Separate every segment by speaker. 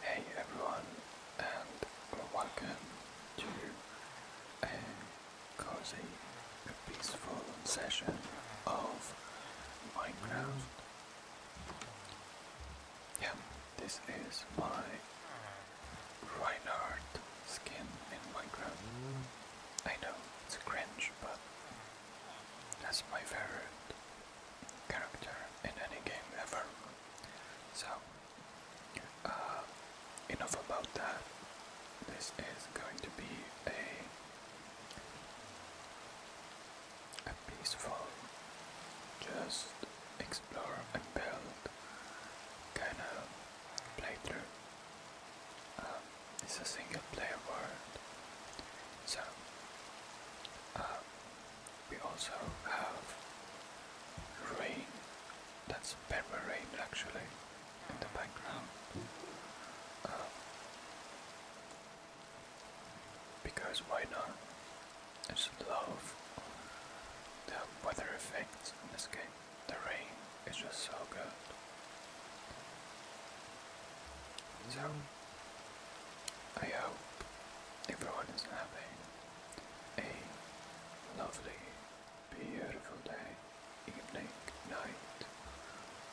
Speaker 1: Hey everyone, and welcome to a cozy, peaceful session of Minecraft. Yeah, this is my Reinhardt skin in Minecraft. I know it's cringe, but that's my favorite character in any game ever. So, uh, enough about that. This is going to be a a peaceful, just explore and build kind of playthrough. Um, it's a single player world, so um, we also have rain. That's a pepper rain actually in the background. Um, because why not? It's just love the weather effects in this game. The rain is just so good. So I hope everyone is having a lovely, beautiful day, evening, night,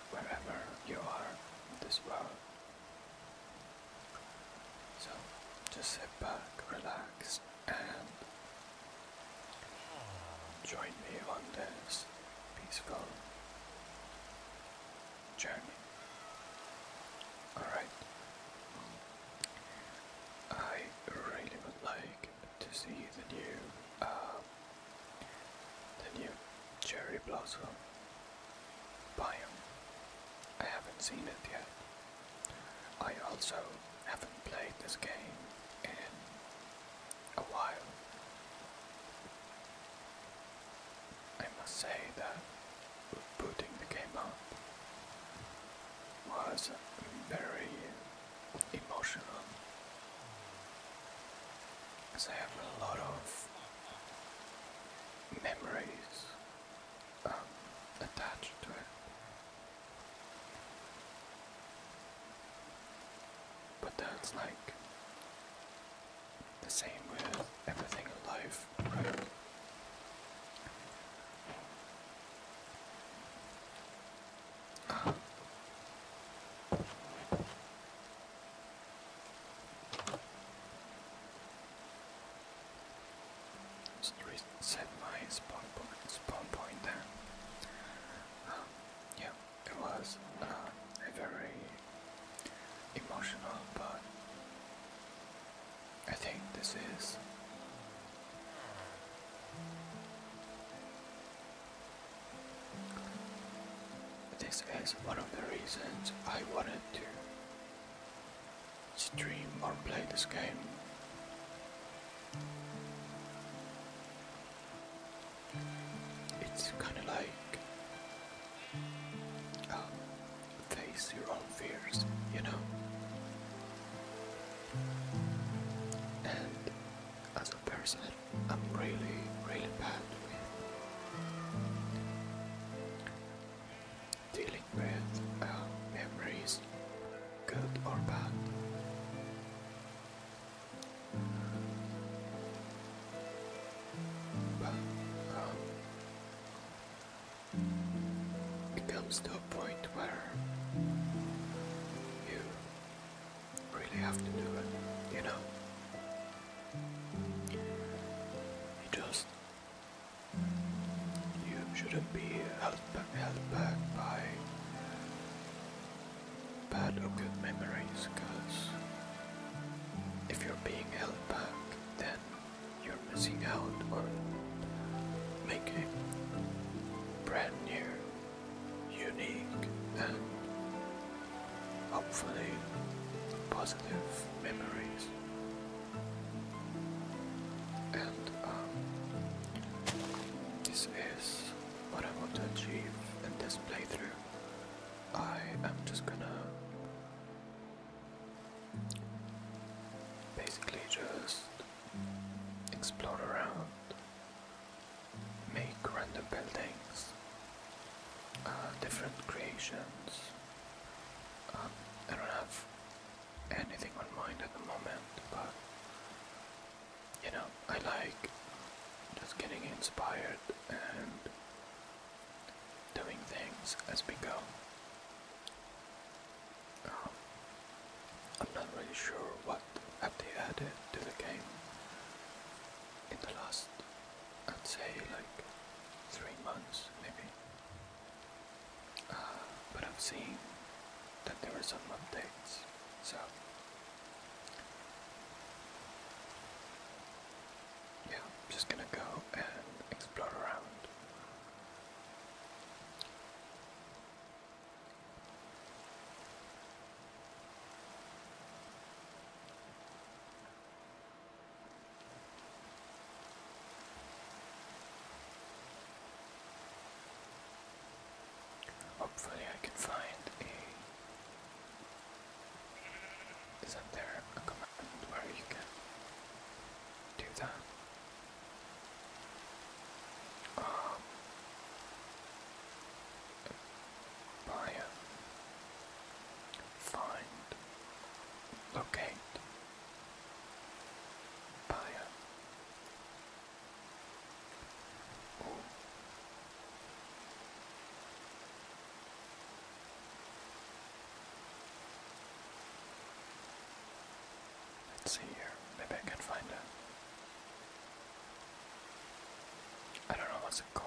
Speaker 1: wherever you are in this world. So just sit back, relax, and join me on this peaceful journey. Alright. I really would like to see the new um, the new cherry blossom biome. I haven't seen it yet. I also haven't played this game in a while. I must say that putting the game up was very emotional because I have a lot of memories um, attached to it. But that's like the same with everything in life, just reset my spawn point, spawn point there. Um, yeah, it was uh, a very emotional but I think this is. This is one of the reasons I wanted to stream or play this game. It's kinda like um, face your own fears, you know? And as a person, I'm really, really bad with dealing with uh, memories, good or bad. But um, it comes to a point where you really have to do it, you know? just. You shouldn't be held back, held back by bad or good memories, because if you're being held back, then you're missing out on making brand new, unique, and hopefully positive memories. And um, this is what I want to achieve in this playthrough. I am just gonna Basically, just explore around, make random buildings, uh, different creations. Um, I don't have anything on mind at the moment, but you know, I like just getting inspired and doing things as we go. Um, I'm not really sure what have they added to the game in the last, I'd say like three months maybe. Uh, but i am seeing that there were some updates, so yeah, I'm just gonna go and explore around Hopefully, I can find a. is there a command where you can do that? Um, buy Find. Locate. Buy Let's see here. Maybe I can find a. I don't know what's it called.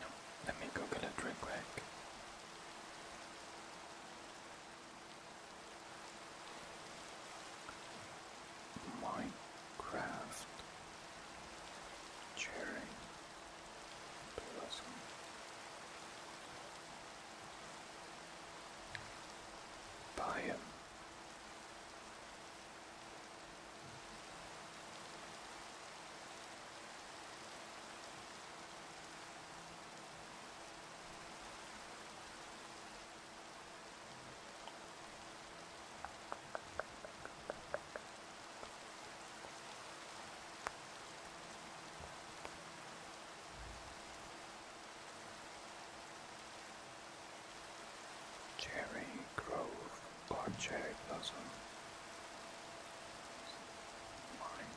Speaker 1: No, let me Google it real quick. Minecraft Cherry Blossom. Biome. Cherry Grove or Cherry Blossom. Mine.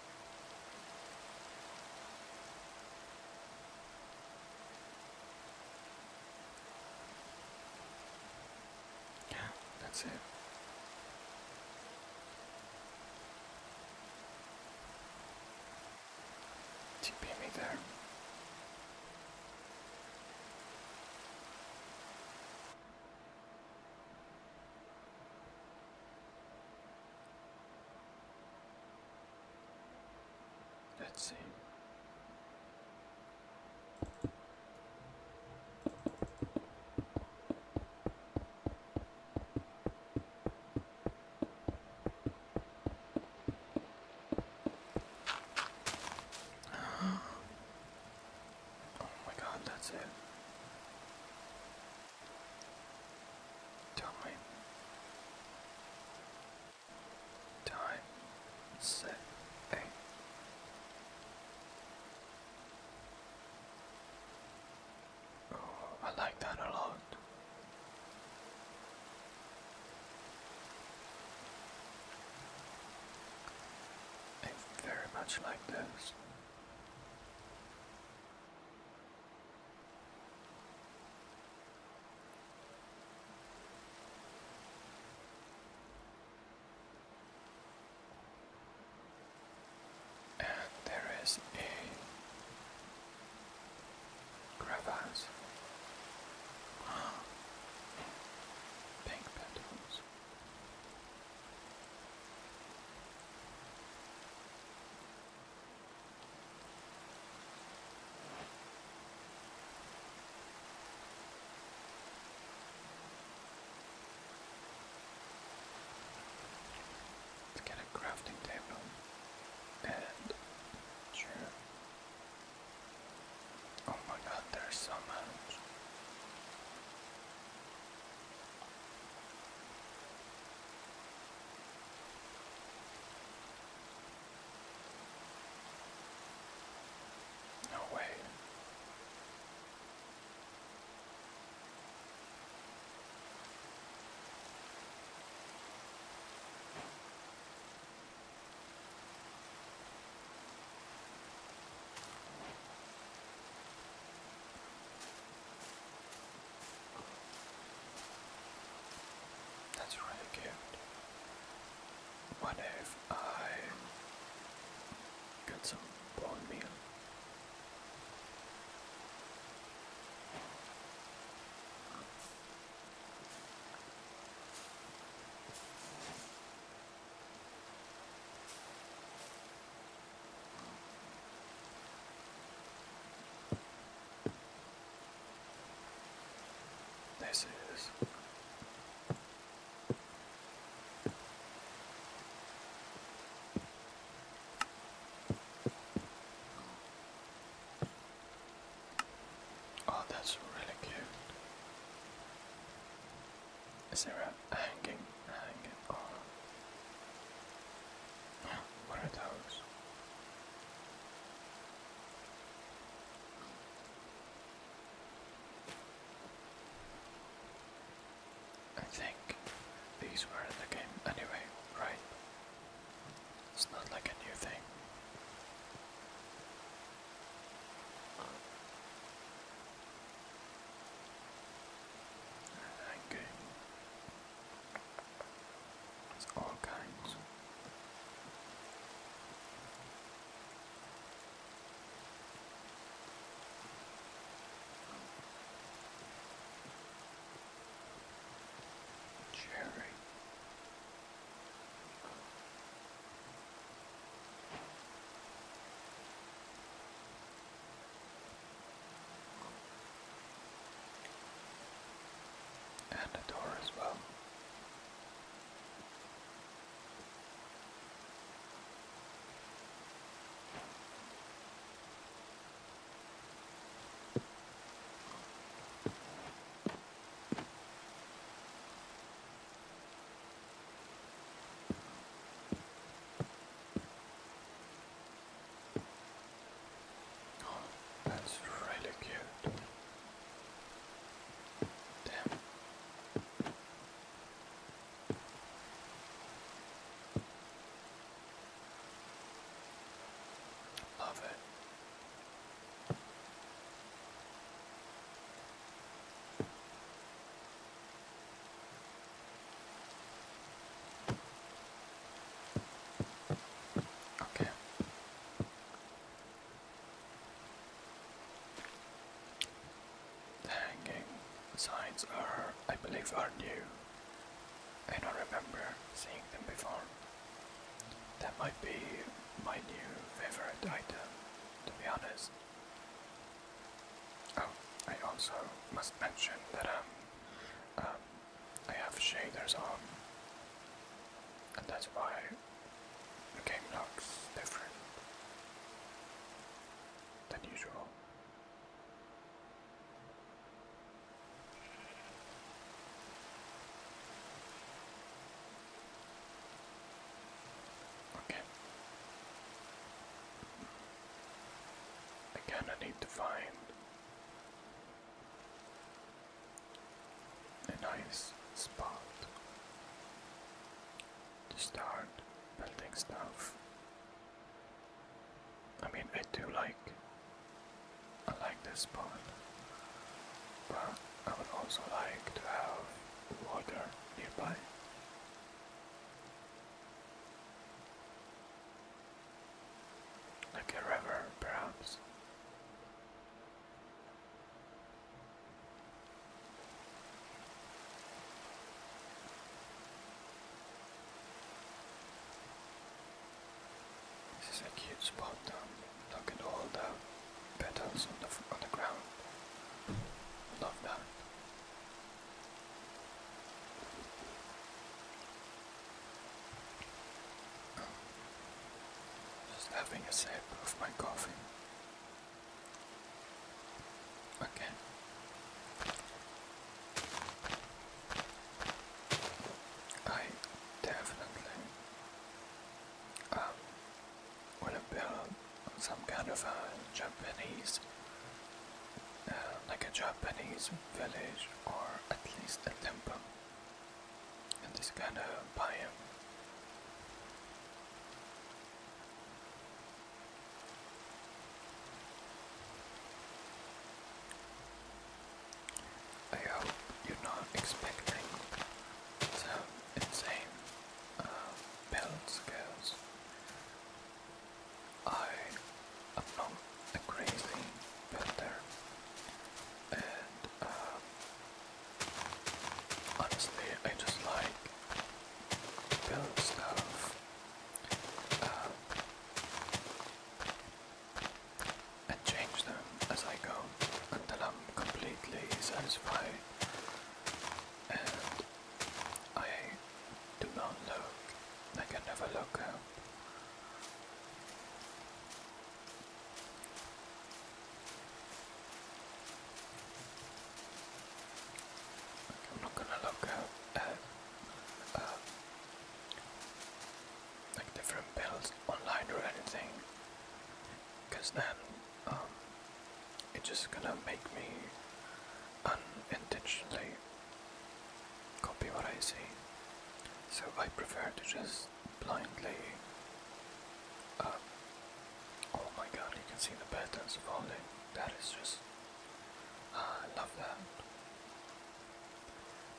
Speaker 1: that's it. TP me there. Let's see. Oh my god, that's it. Time. Time. Set. A. Oh, I like that a lot. I very much like this. And there is a crevasse. Pink petals. Let's get a crafting table and sure. Oh my god, there's so much. No way. That's really cute. What if I get some bone meal? This is Oh, that's really cute. Is there a hanging, hanging? What are those? I think these were in the game anyway, right? It's not like a new thing. Okay. It's all kinds. Cherry. And the door as well that's really cute. Damn. Love it. Okay. The hanging signs are, I believe, are new. I don't remember seeing them before. That might be my new favorite item, to be honest. Oh, I also must mention that I'm um, um, I have shaders on, and that's why the game looks different than usual. Okay. Again, I need to find a nice spot to start building stuff. I mean, I do like, I like this spot, but I would also like to have water nearby. Like a river, perhaps. This is a cute spot Look at all the petals on the, on the ground. Love that. Just having a sip of my coffee. Okay. I definitely um, want to some kind of a Japanese, uh, like a Japanese village or at least a temple in this kind of biome. I hope you're not expecting some insane uh, build skills. I am not a crazy builder and um, honestly, I just like building stuff. Um, and change them as I go until I'm completely satisfied and I do not look, I can never look I'm not gonna look at, uh, like different builds online or anything, then um, it's just gonna make me unintentionally copy what I see. So I prefer to just blindly um, Oh my god, you can see the patterns of all That is just. Ah, I love that.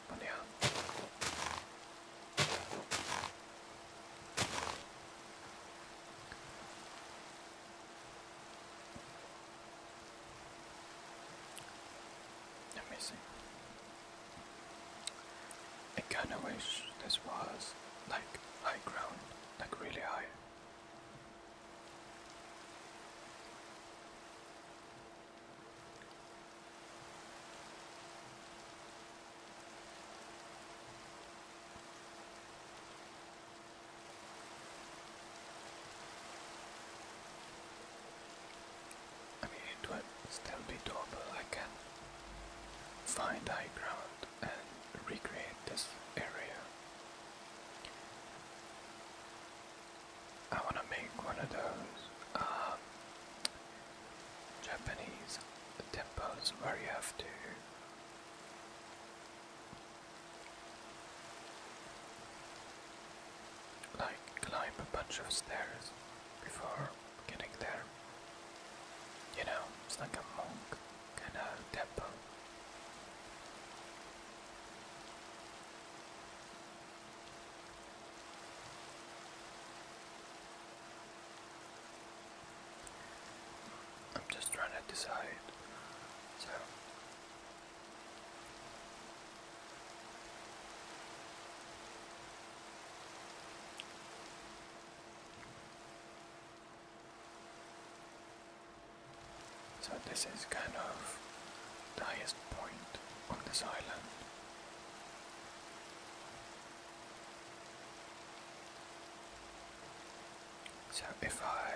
Speaker 1: But yeah. Let me see. I kinda wish this was like high ground, like really high. I mean, it would still be doable. I can find high ground and recreate this area. I want to make one of those um, Japanese temples where you have to. Like climb a bunch of stairs before getting there. You know, it's like a monk kind of temple. I'm just trying to decide. So so this is kind of the highest point on this island. So if I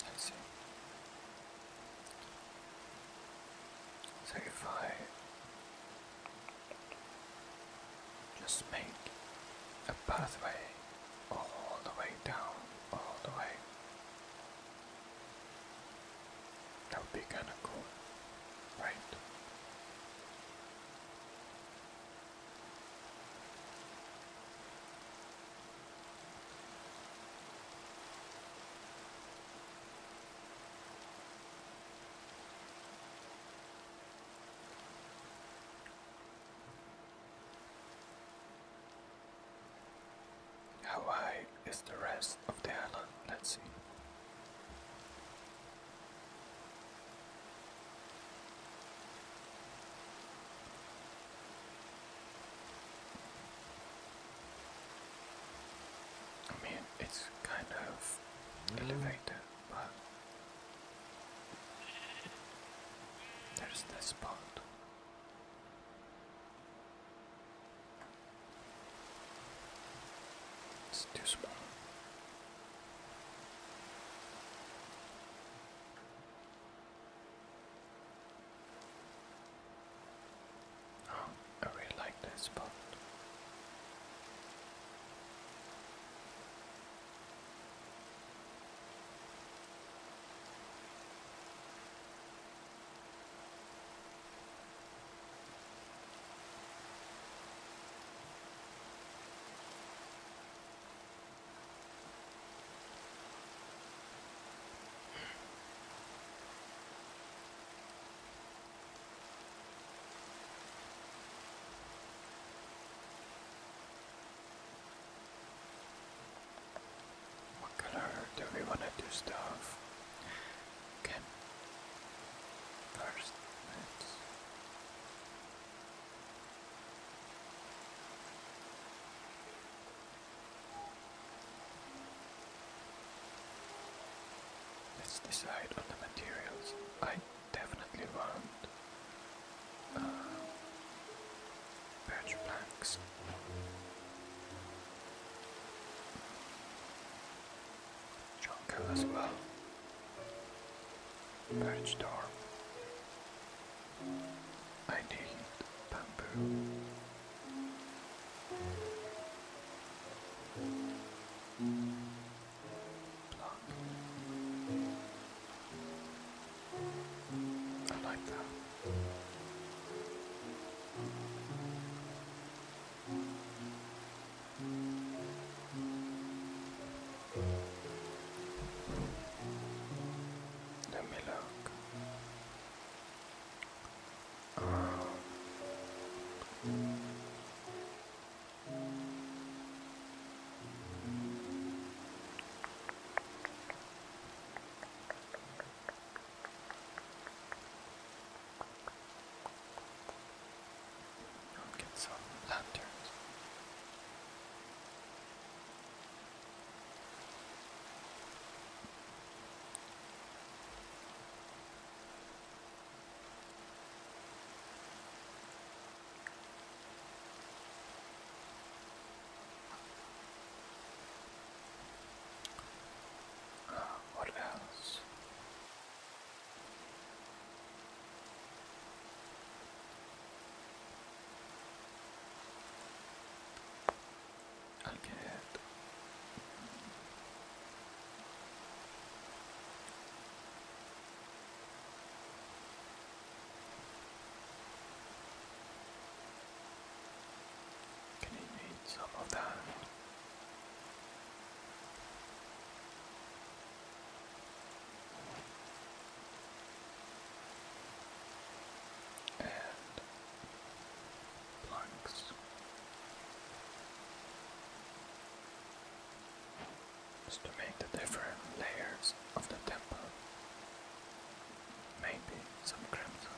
Speaker 1: I see. So if I just make a pathway all the way down, all the way that would be kind of cool, right? How high is the rest of the island? Let's see. I mean, it's kind of elevated, but there's this part. It's too small. Oh, I really like that spot. What color do we want to do stuff? Okay. First, us decide on the materials. I definitely want uh, birch planks. Jungle as well. Birch dorm. I need bamboo. Plug. I like that. Let me look. Um, ah. I'll get some lanterns. Uh, what else? i get Can you eat some of that? and planks. Just to make the different layers of the temple. Maybe some crimson.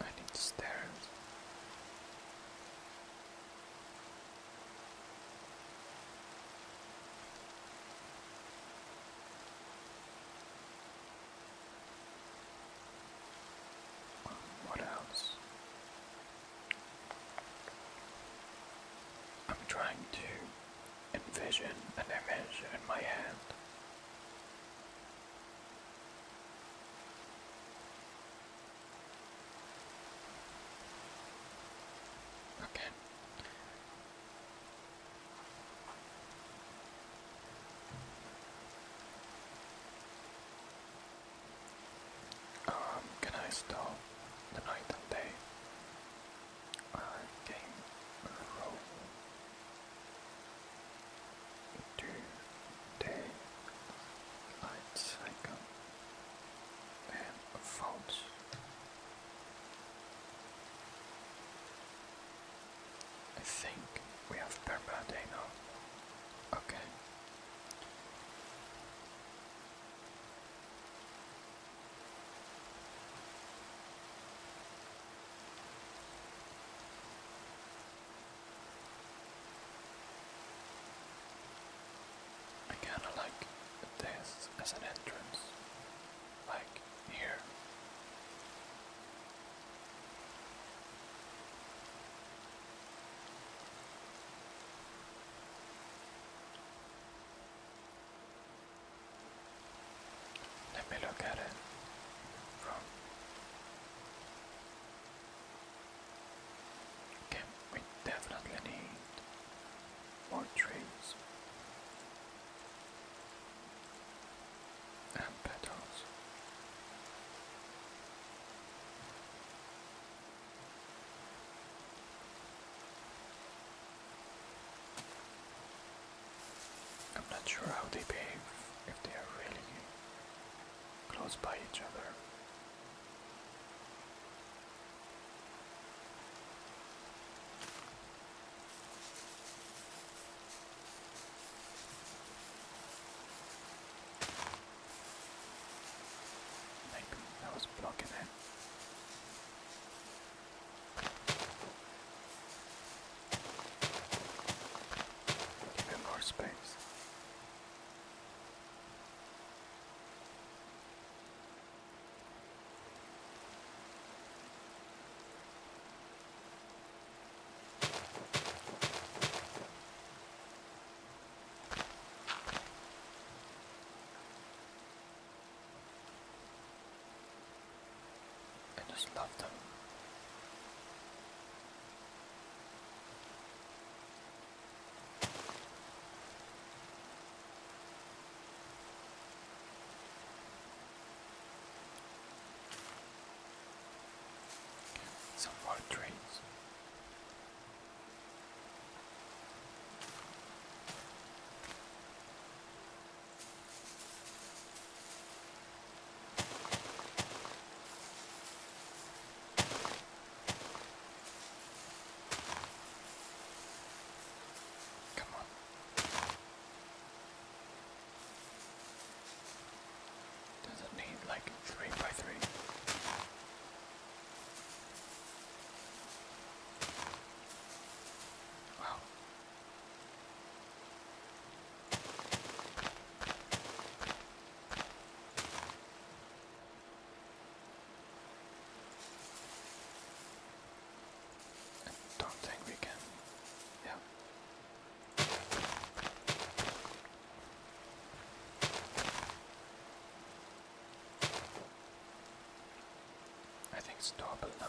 Speaker 1: I need stairs. what else? I'm trying to envision an image in my hand. Okay. Um, can I stop the night and day? uh, game roll do day light cycle and faults I think we have Perma Day now. Okay. I kinda like this as an entrance, like here. Let me look at it Okay, we definitely need more trees and petals. I'm not sure how they behave if they are really close by each other. Maybe I was blocking it. Give it more space. I just love them. Some more trees. Come on. Does it need like three by three? Wow, I don't think we can. Yeah. I think it's doable now.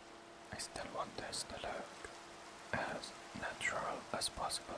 Speaker 1: I still want this to look as natural as possible.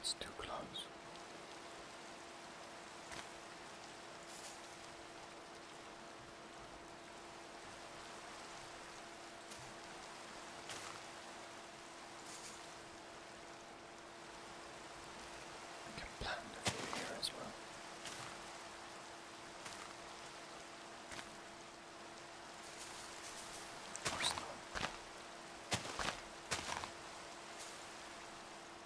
Speaker 1: It's too close. I can plant it here as well. Of course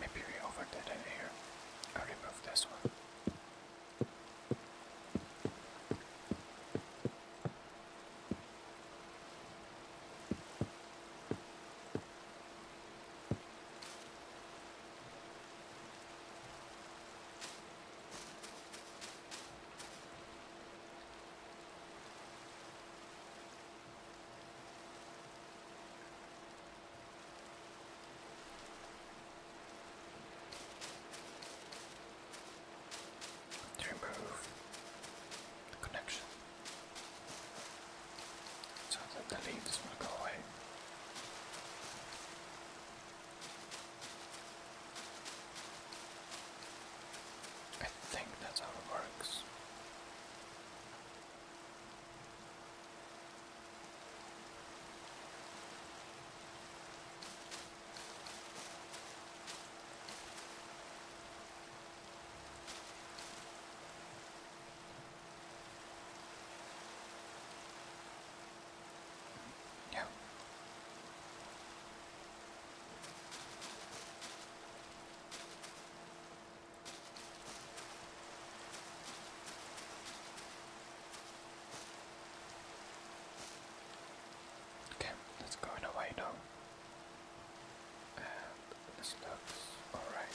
Speaker 1: Maybe we overdid it here. I'll remove this one. To remove the connection so that the leaves will go away. I think that's how it works. Yeah. Okay, let's go in away now. And this looks alright.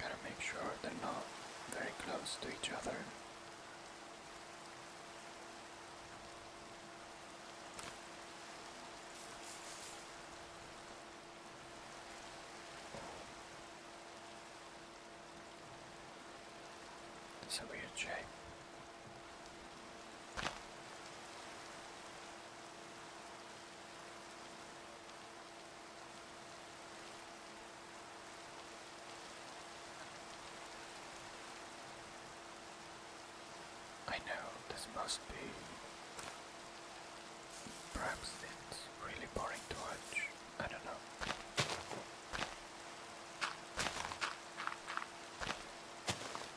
Speaker 1: Gotta make sure they're not very close to each other. It's a weird shape. I know this must be. Perhaps it's really boring to watch. I don't know.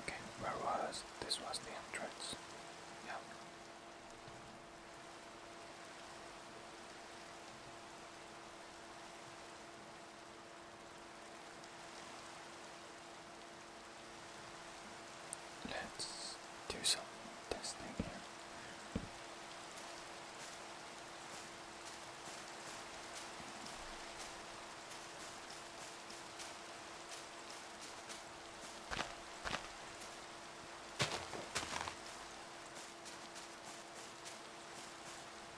Speaker 1: Okay, where was this? Was the entrance? Yeah. Let's do some testing here.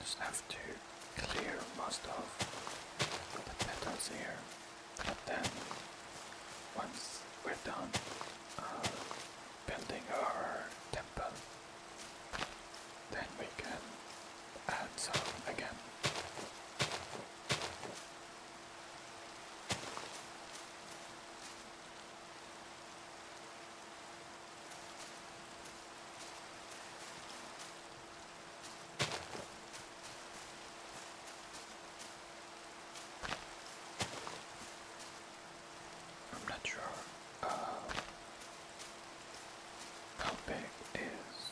Speaker 1: Just have to clear most of the petals here, and then once we're done uh, building our temple, then we can add some again. I'm not sure uh, how big is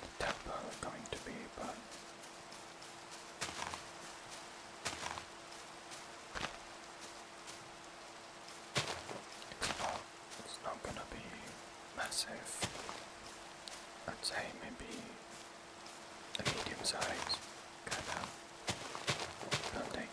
Speaker 1: the tempo going to be, but it's not, it's not gonna be massive. I'd say maybe a medium size kind of building.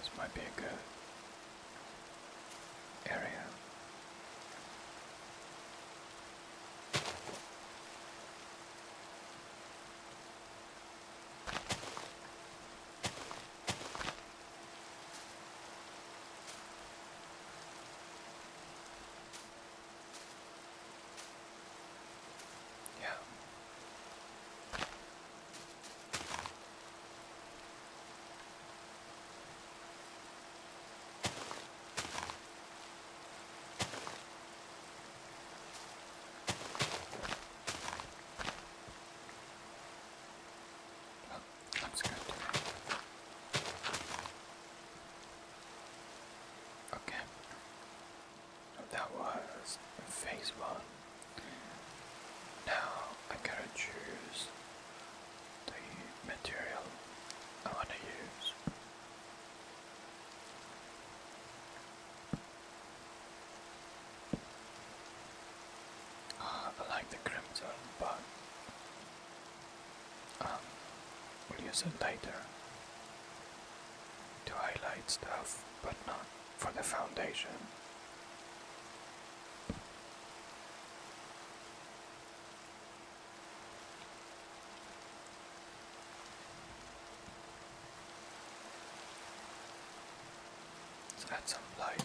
Speaker 1: This might be a good area. Yeah. Oh, good. Okay. That was phase one. Now I gotta choose the material I wanna use. Uh, I like the crimson, but Ah, we'll use it later to highlight stuff, but not for the foundation. Let's add some light.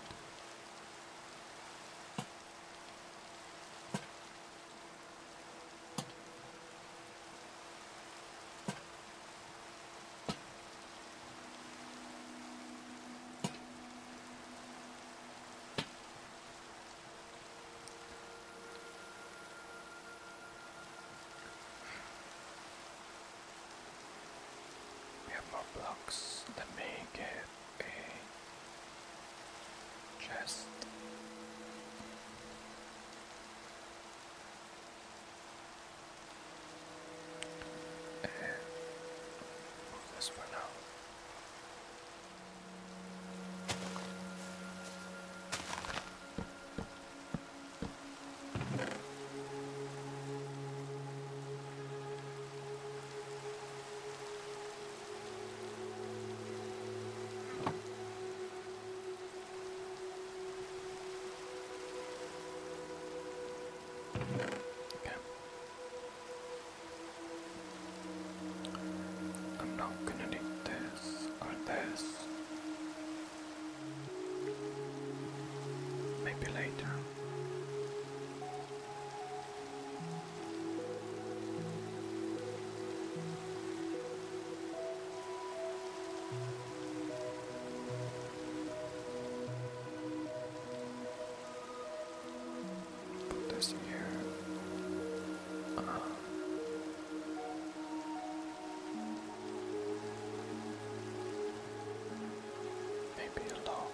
Speaker 1: We have more blocks. Let me get just And move this one out. I'm not gonna need this or this. Maybe later. This year, uh, maybe a log.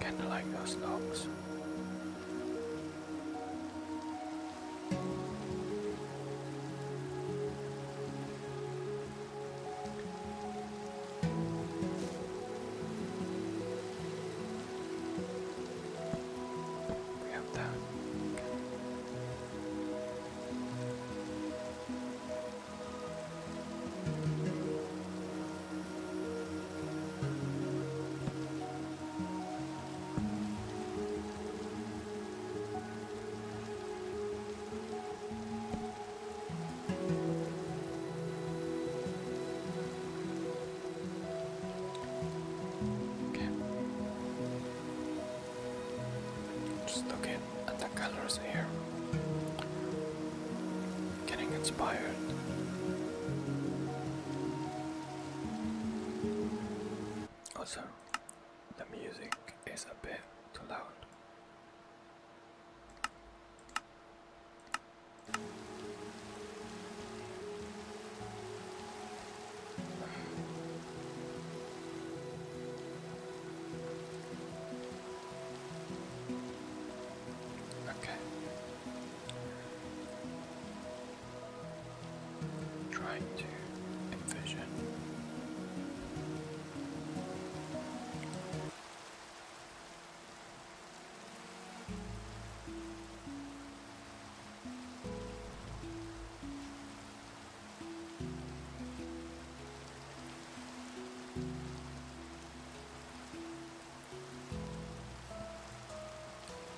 Speaker 1: Kind of like those dogs. We have that. Just looking at the colors here. Getting inspired. Also, the music is a bit too loud. Okay. Trying to envision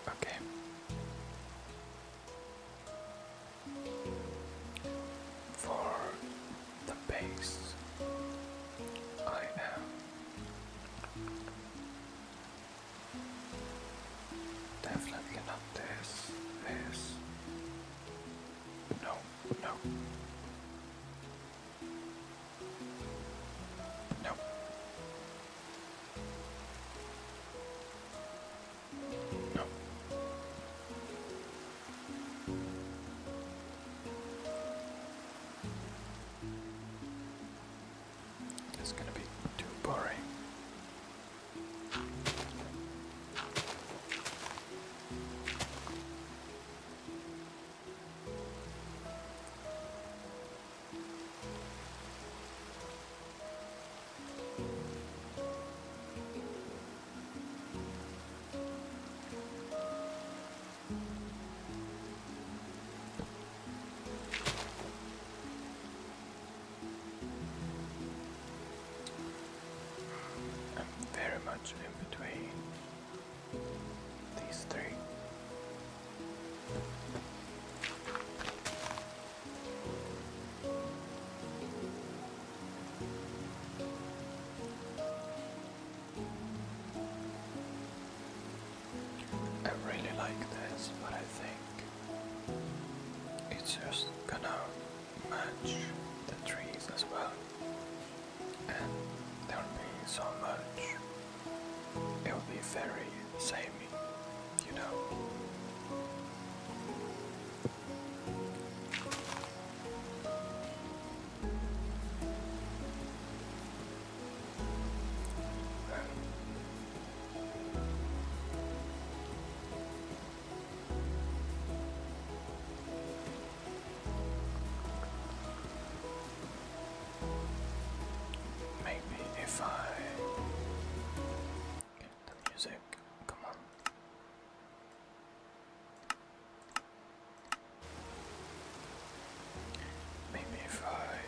Speaker 1: Okay. For the base, I am Definitely not this. This. No, no. No. No. It's going to be too boring. I'm very much in between these three. I really like this, but I think it's just gonna match the trees as well. And there'll be so much, it'll be very samey, you know. Maybe if I the music, come on. Maybe if I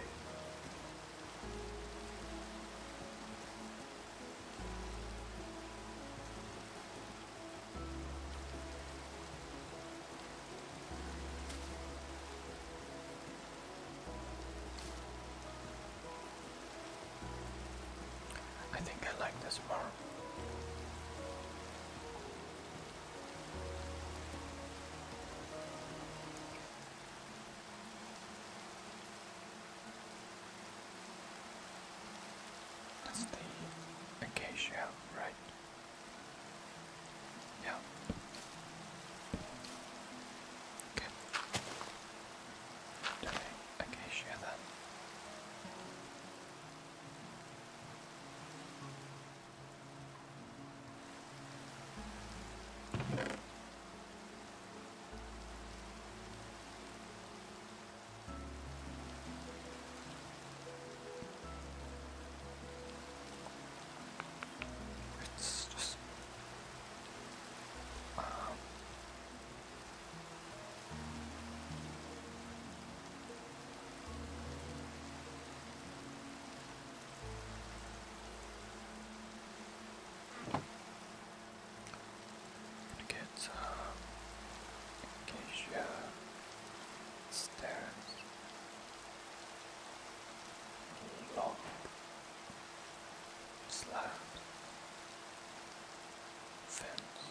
Speaker 1: I think I like this more. That's the acacia, right? Yeah. Okay. Do the acacia it's just um, Get uh, acacia stairs long slab fence.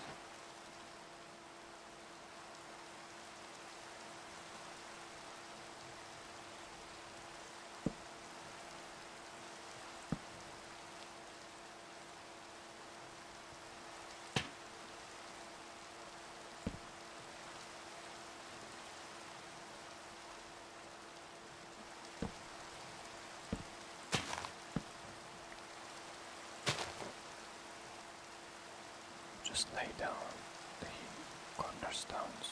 Speaker 1: Just lay down the cornerstones.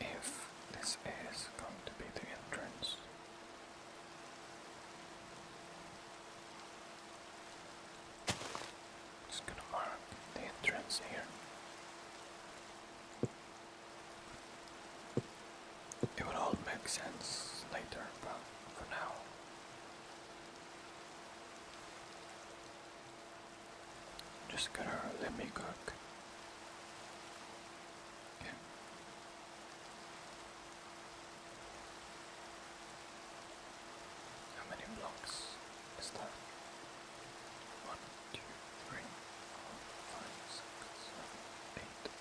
Speaker 1: If this is going to be the entrance. Just gonna mark the entrance here. It will all make sense later, but for now. Just gotta let me cook. Okay. How many blocks is that?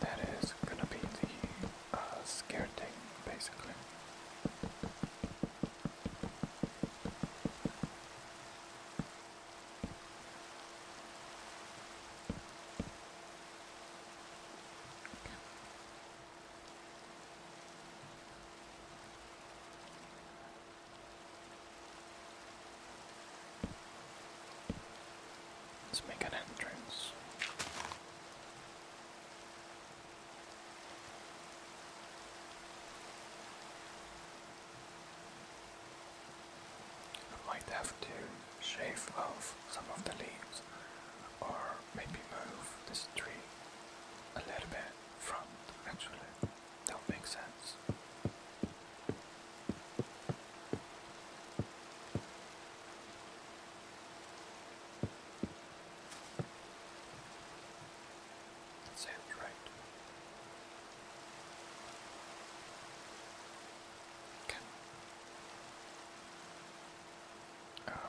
Speaker 1: That is gonna be the uh, scare basically. Let's make an entrance. I might have to shave off some of the leaves or maybe move this tree a little bit from actually that makes sense. Sounds right. Okay. Oh.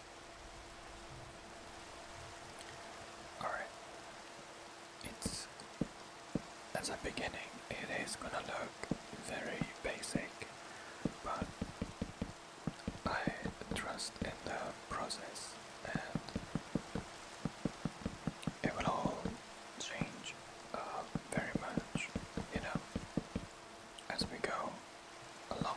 Speaker 1: Alright. It's as a beginning it is gonna look very basic but I trust in the process and it will all change uh, very much, you know, as we go along.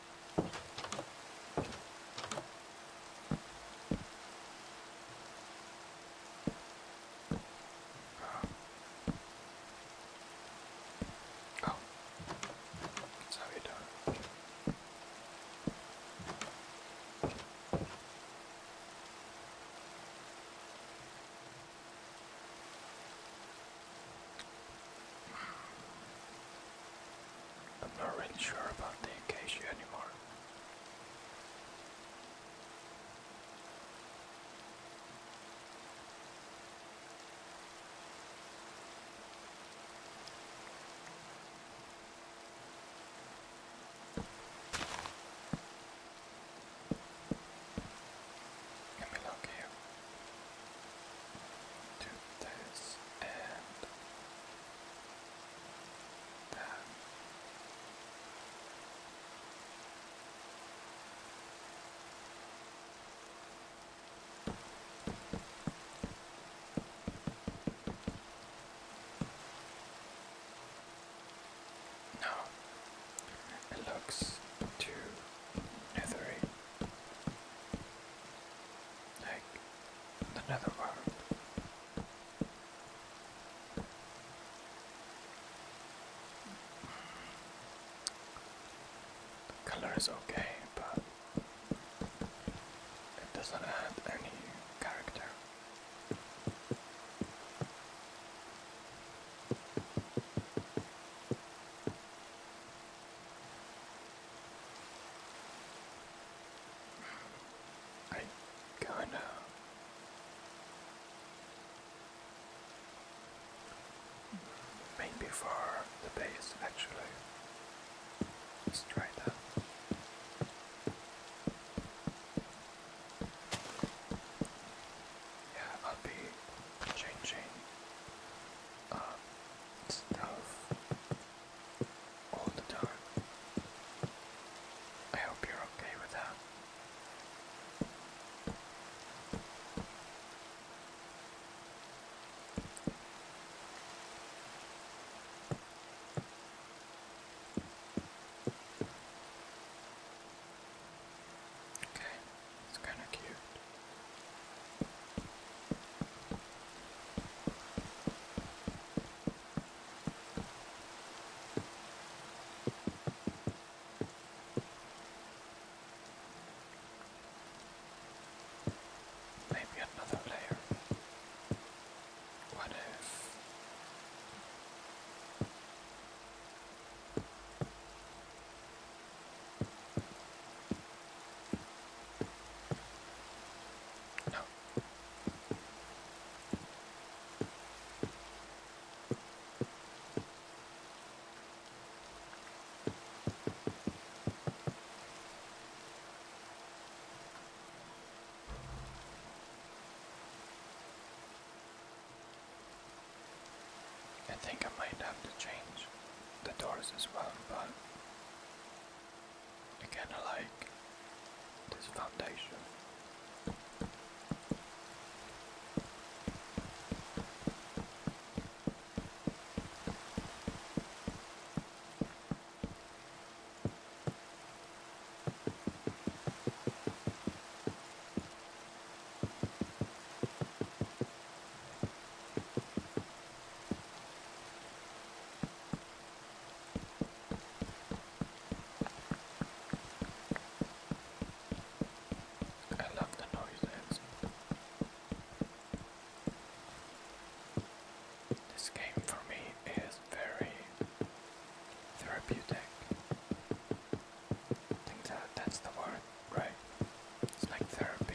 Speaker 1: Oh, that's how you do it. I'm not really sure about the acacia anymore. Let me look here. Do this and that no, it looks too Like the netherworld. The color is okay, but it doesn't add any character. I kind of maybe for the base actually. Let's Yeah, I'll be changing uh, stuff all the time. I hope you're okay with that. Okay, it's kind of cute. Maybe another layer. What if? No, I think I might have to change the doors as well, but I kind this foundation. I love the noise This game for me is very therapeutic. think that that's the word, right? It's like therapy.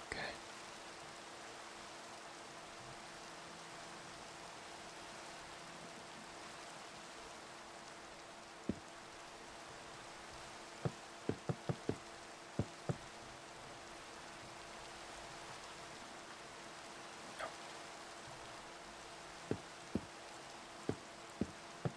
Speaker 1: Okay. No.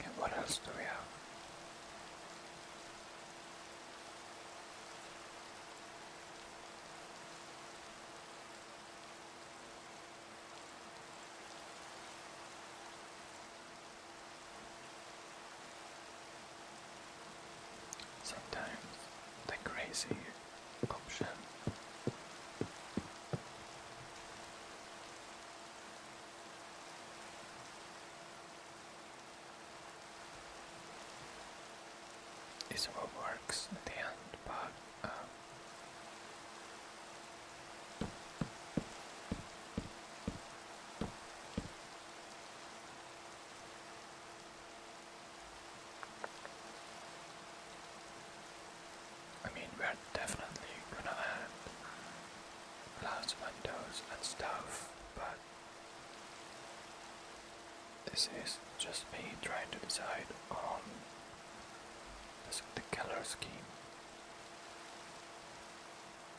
Speaker 1: Okay, what else do we have? Sometimes the crazy option. Is what works at the end, but um, I mean, we're definitely gonna add glass windows and stuff, but this is just me trying to decide on the color scheme.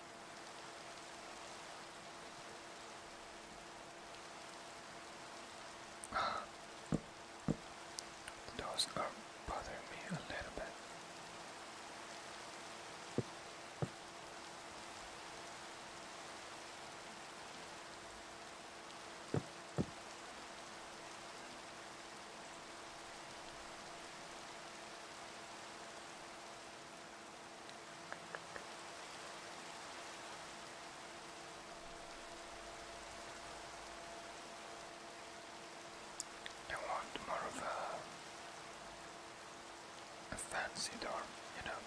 Speaker 1: Those are bothering me a little bit. I want more of a, a fancy door, you know.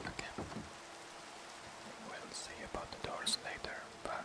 Speaker 1: Okay. We'll see about the doors later, but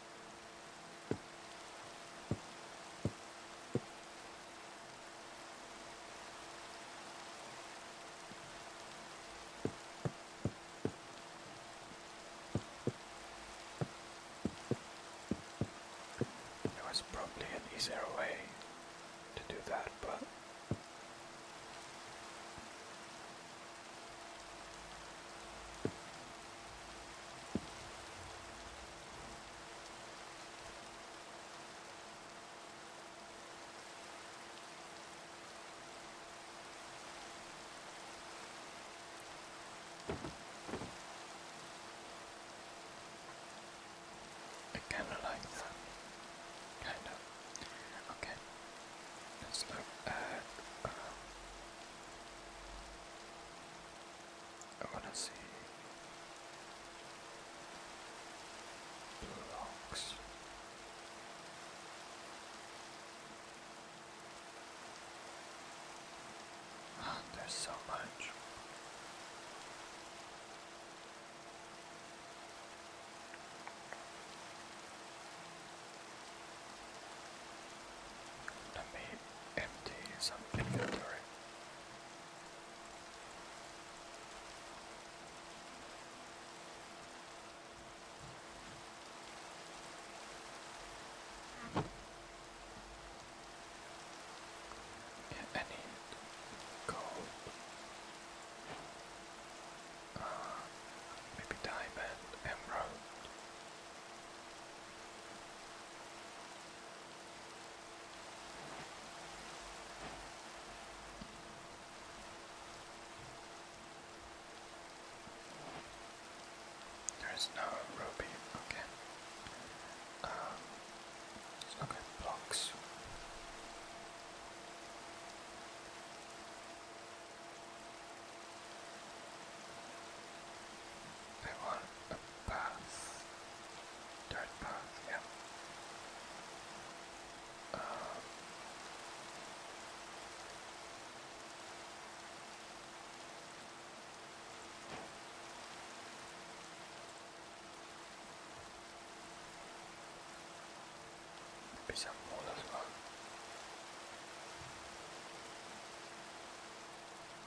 Speaker 1: There was probably an easier way to do that, but. I kind of like that. Kind of. Okay. Let's look at. Uh, I wanna see blue rocks. there's so much. Let me empty some inventory. Yeah, I gold. Uh, maybe diamond, emerald. There's no ruby, okay. Um, there's no good blocks. I want Pass. Dirt pass. yeah. Um, some more as well.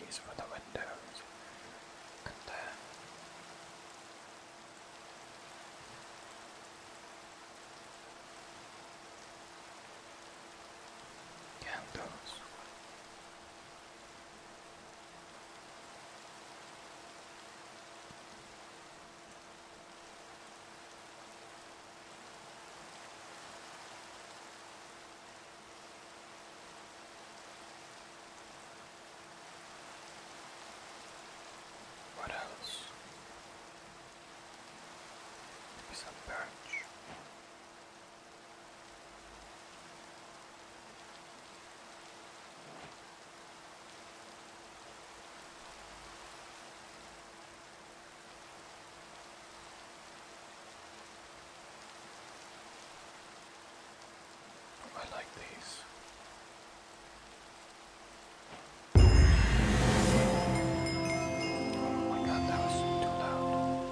Speaker 1: these for the windows and then candles. What else? Maybe some birch. I like these. Oh my god, that was too loud.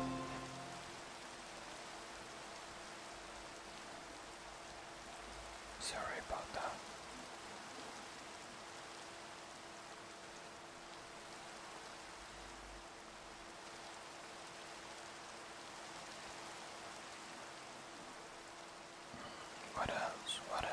Speaker 1: Sorry about that. What else? What else?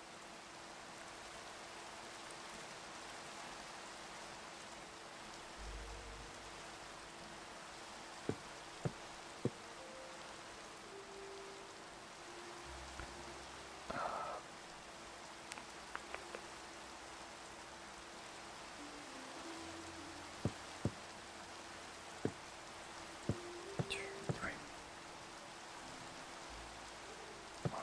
Speaker 1: Two, three. One.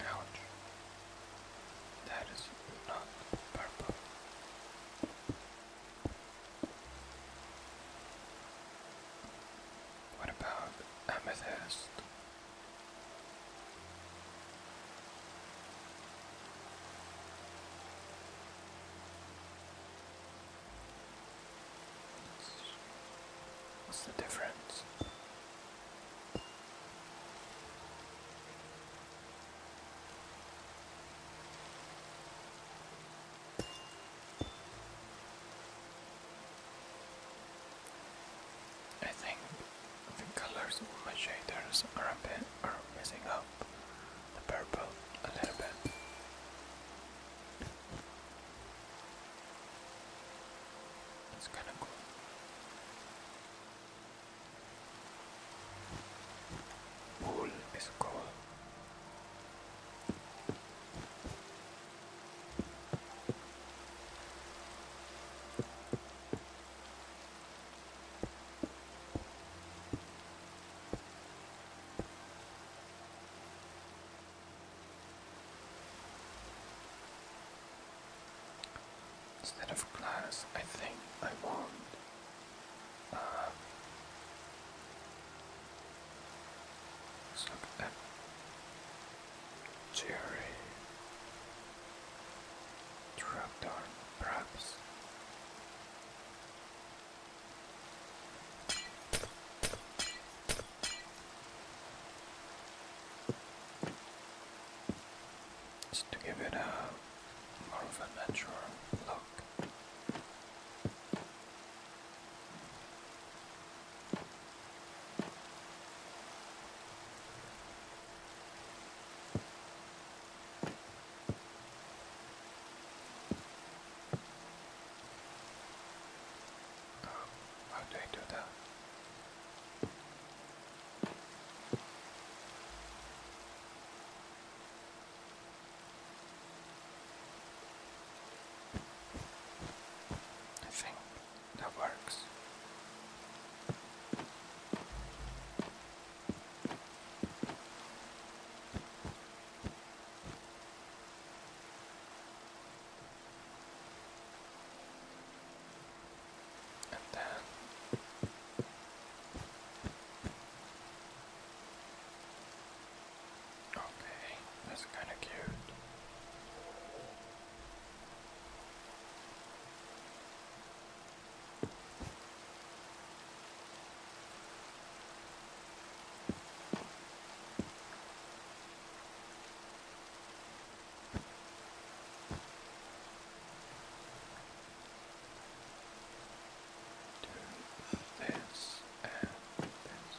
Speaker 1: Ouch. That is not purple. What about amethyst? What's the difference? I think the colors of my shaders are a bit messing up the purple a little bit. It's kind of cool. Wool is cool. Instead of glass, I think I want uh, let's perhaps. Just to give it a more of a natural look. Oh, how that? I think that works. Okay, that's kind of cute. Do this and this.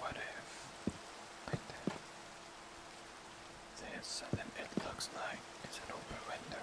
Speaker 1: What if I did this and it looks like it's an open window?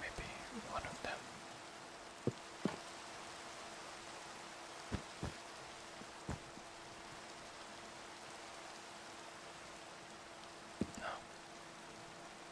Speaker 1: Maybe one of them. No.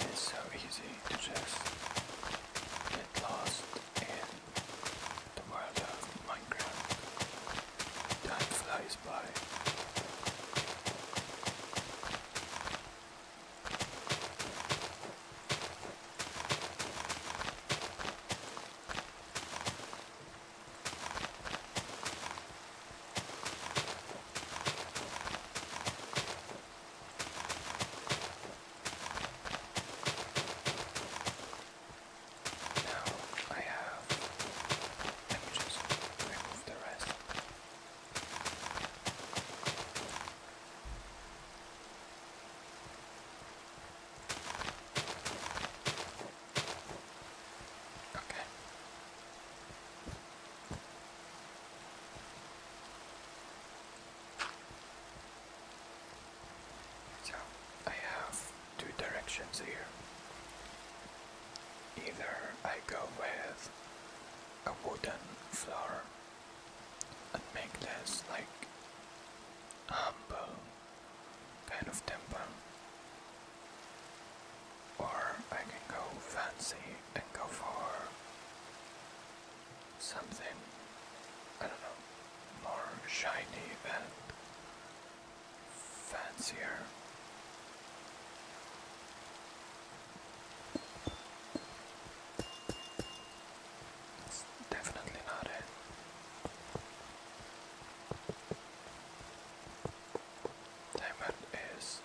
Speaker 1: It is so easy to just get lost in the world of Minecraft. Time flies by. Now I have. Let just remove the rest. Okay. So I have two directions here. Either I go with a wooden floor and make this like humble kind of temple, or I can go fancy and go for something I don't know more shiny and fancier. definitely not it. Diamond is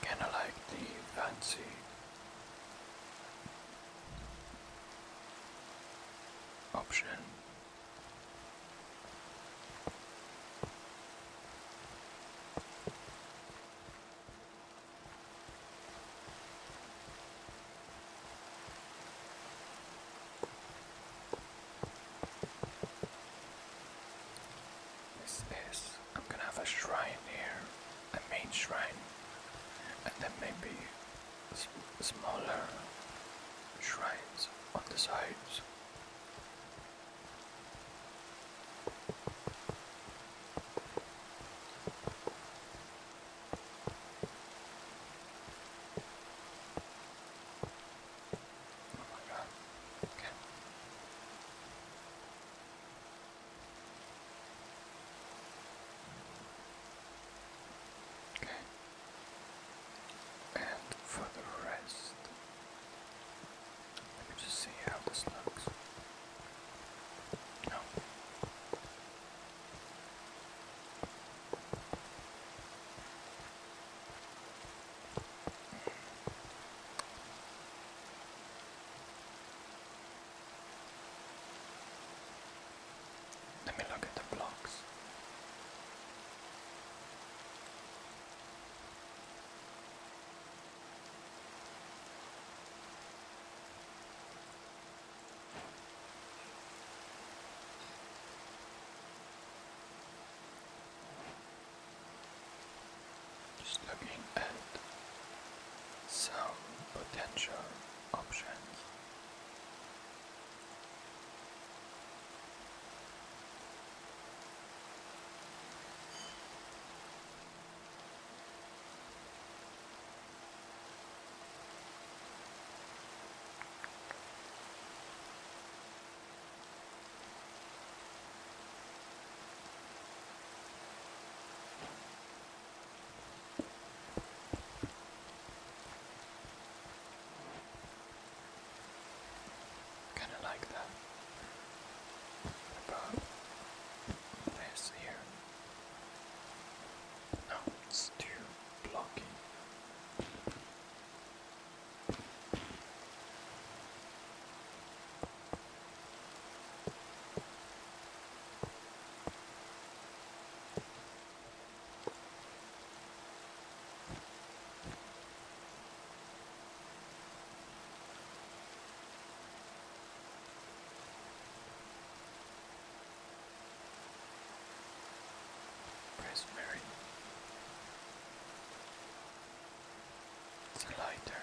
Speaker 1: again I like the fancy option. This I'm gonna have a shrine here, a main shrine, and then maybe smaller shrines on the sides. Oh my God. Okay. Okay. And for the rest, let me just see how this looks. No. Let me look at the blocks just looking at some potential options. Kind of like that. About this here. No, it's too blocky. Praise Mary. It's a lighter.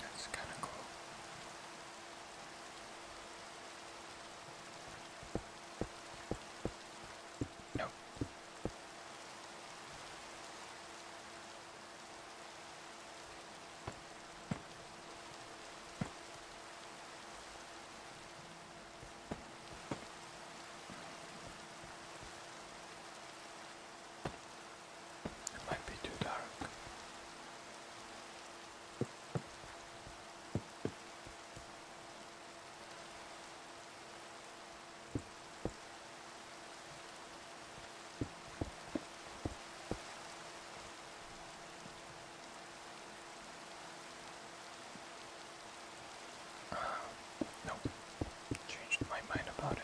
Speaker 1: That's kind of cool. Nope. It might be too dark. Uh, Changed my mind about it.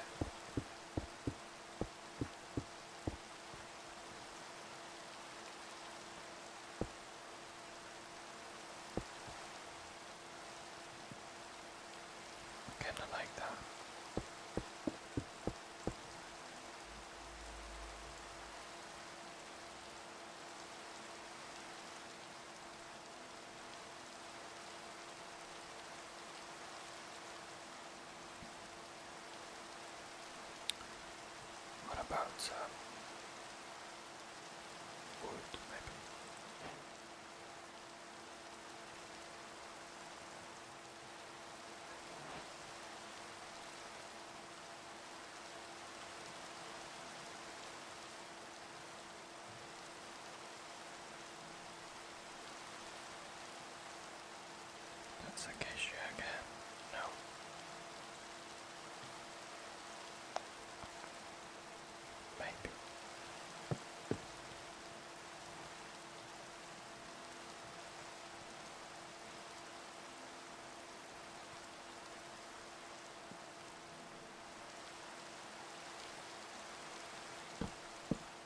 Speaker 1: Kinda like that. What about uh, wood, maybe? That's acacia again. No. Maybe.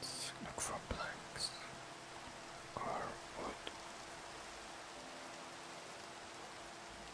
Speaker 1: Let's look for planks or wood.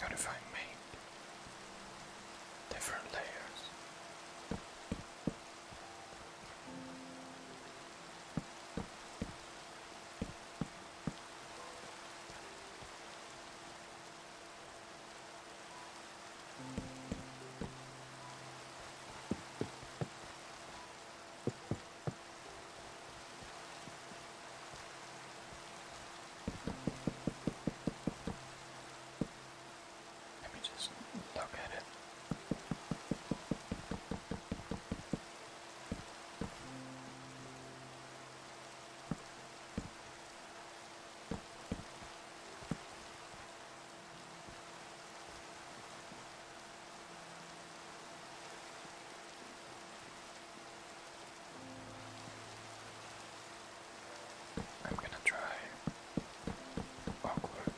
Speaker 1: Not if I make different layers. Let me just look at it. I'm gonna try awkward.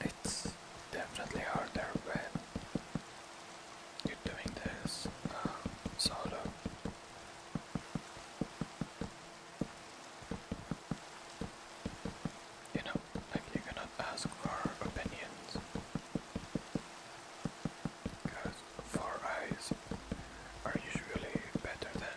Speaker 1: It's definitely harder when you're doing this uh, solo. You know, like you cannot ask for opinions. Because four eyes are usually better than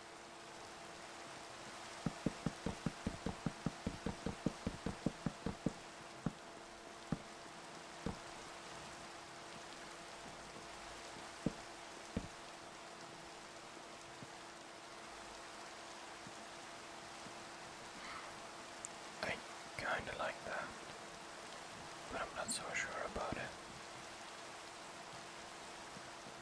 Speaker 1: I kinda like that, but I'm not so sure about it.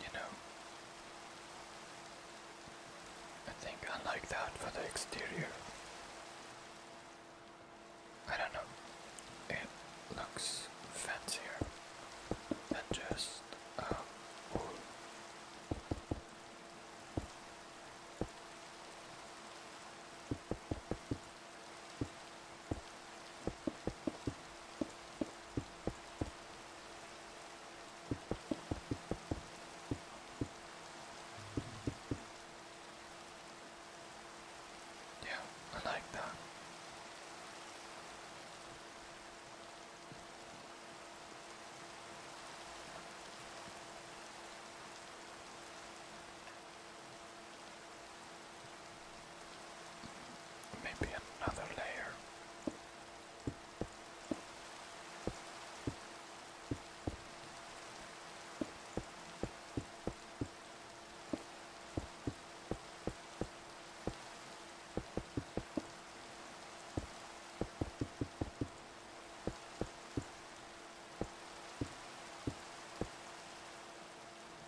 Speaker 1: You know, I think I like that for the exterior. I don't know, it looks fancier than just uh, yeah, I like that. Maybe another layer.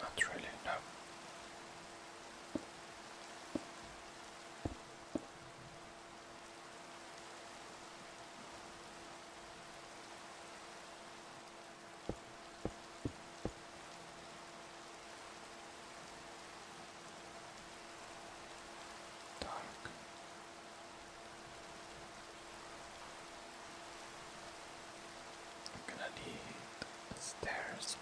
Speaker 1: Not really, no. Dark. I'm gonna need stairs.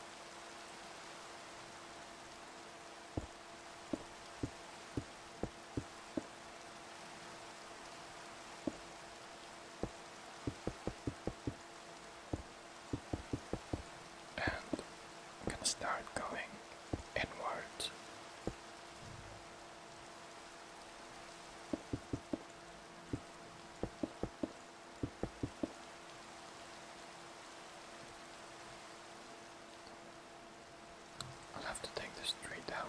Speaker 1: And I'm gonna start going inwards. I'll have to take this tree down.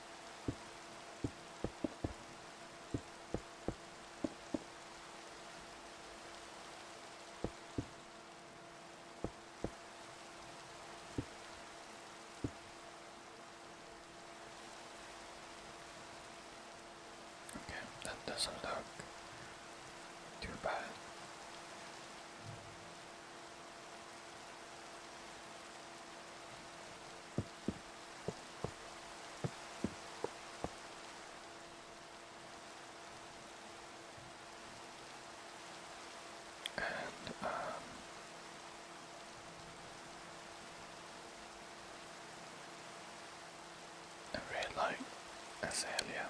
Speaker 1: Okay, that doesn't look too bad. And um, a red light azalea.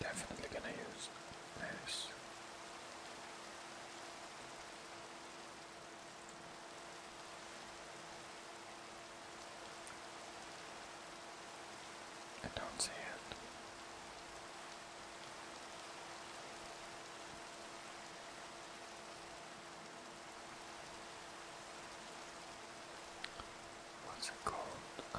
Speaker 1: Definitely gonna use this. I don't see it. What's it called? Uh,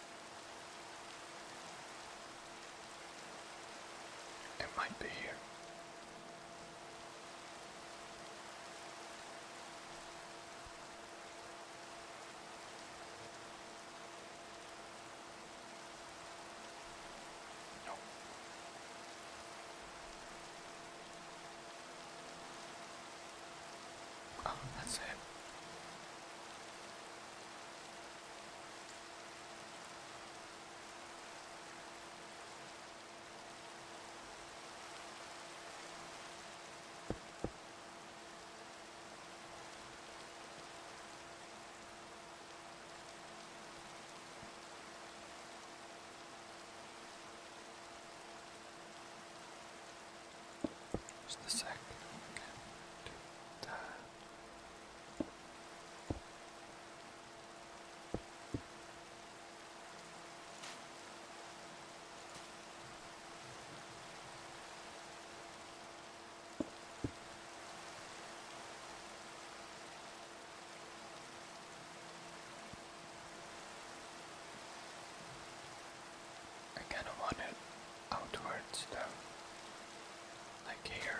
Speaker 1: It might be here. Nope. Oh, that's it. Just a second, okay. I kind of want it outwards though, like here.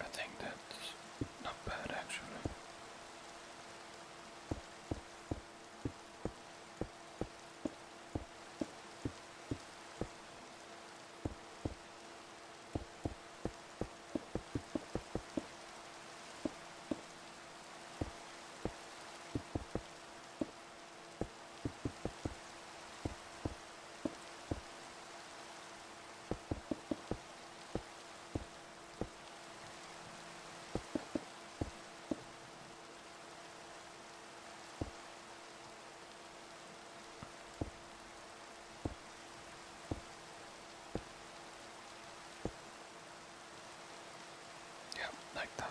Speaker 1: I think that's not bad actually. Yeah, like that.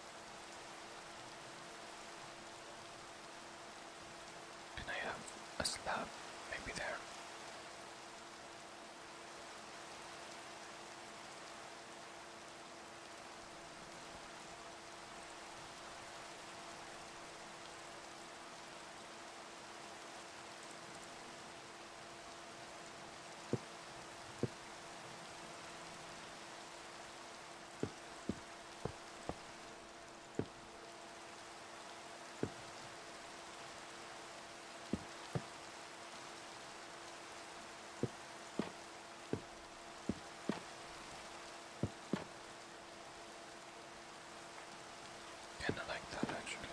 Speaker 1: Can I have a slab? Maybe there. Kinda like that actually.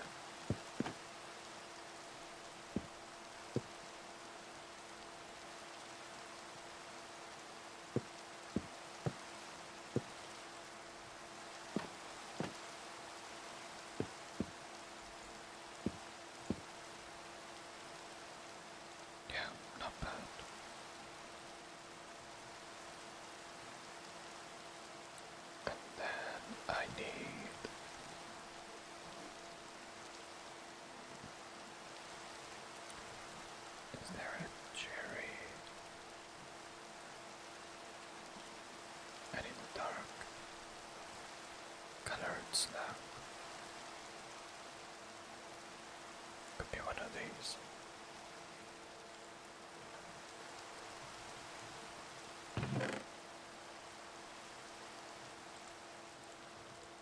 Speaker 1: Yeah, not bad. And then I need is there a cherry? And in the dark, colored slab. Could be one of these.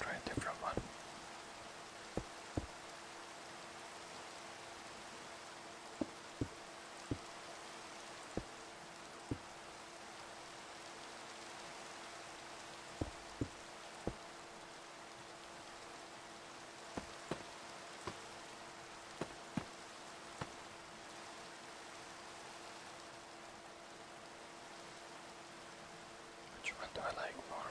Speaker 1: Try a different one. Which one do I like more?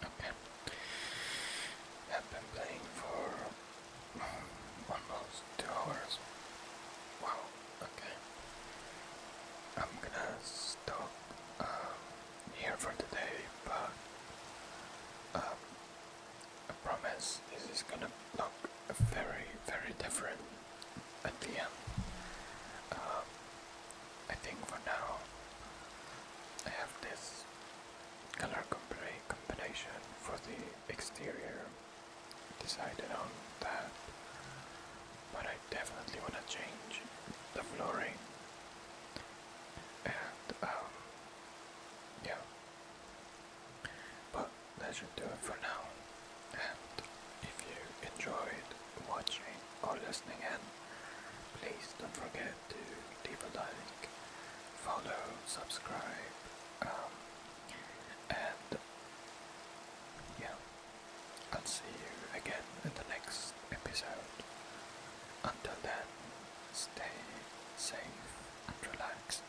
Speaker 1: Okay. I've been playing for almost two hours. Wow, okay. I'm gonna stop um, here for today, but um, I promise this is gonna look very, very different at the end. Um, I think for now I have this color combination for the exterior decided on that, but I definitely wanna change the flooring and um, yeah. But that should do it for now. And if you enjoyed watching or listening in, please don't forget to leave a like, follow, subscribe, um, and yeah, I'll see you again in the next episode. Until then, stay safe and relaxed.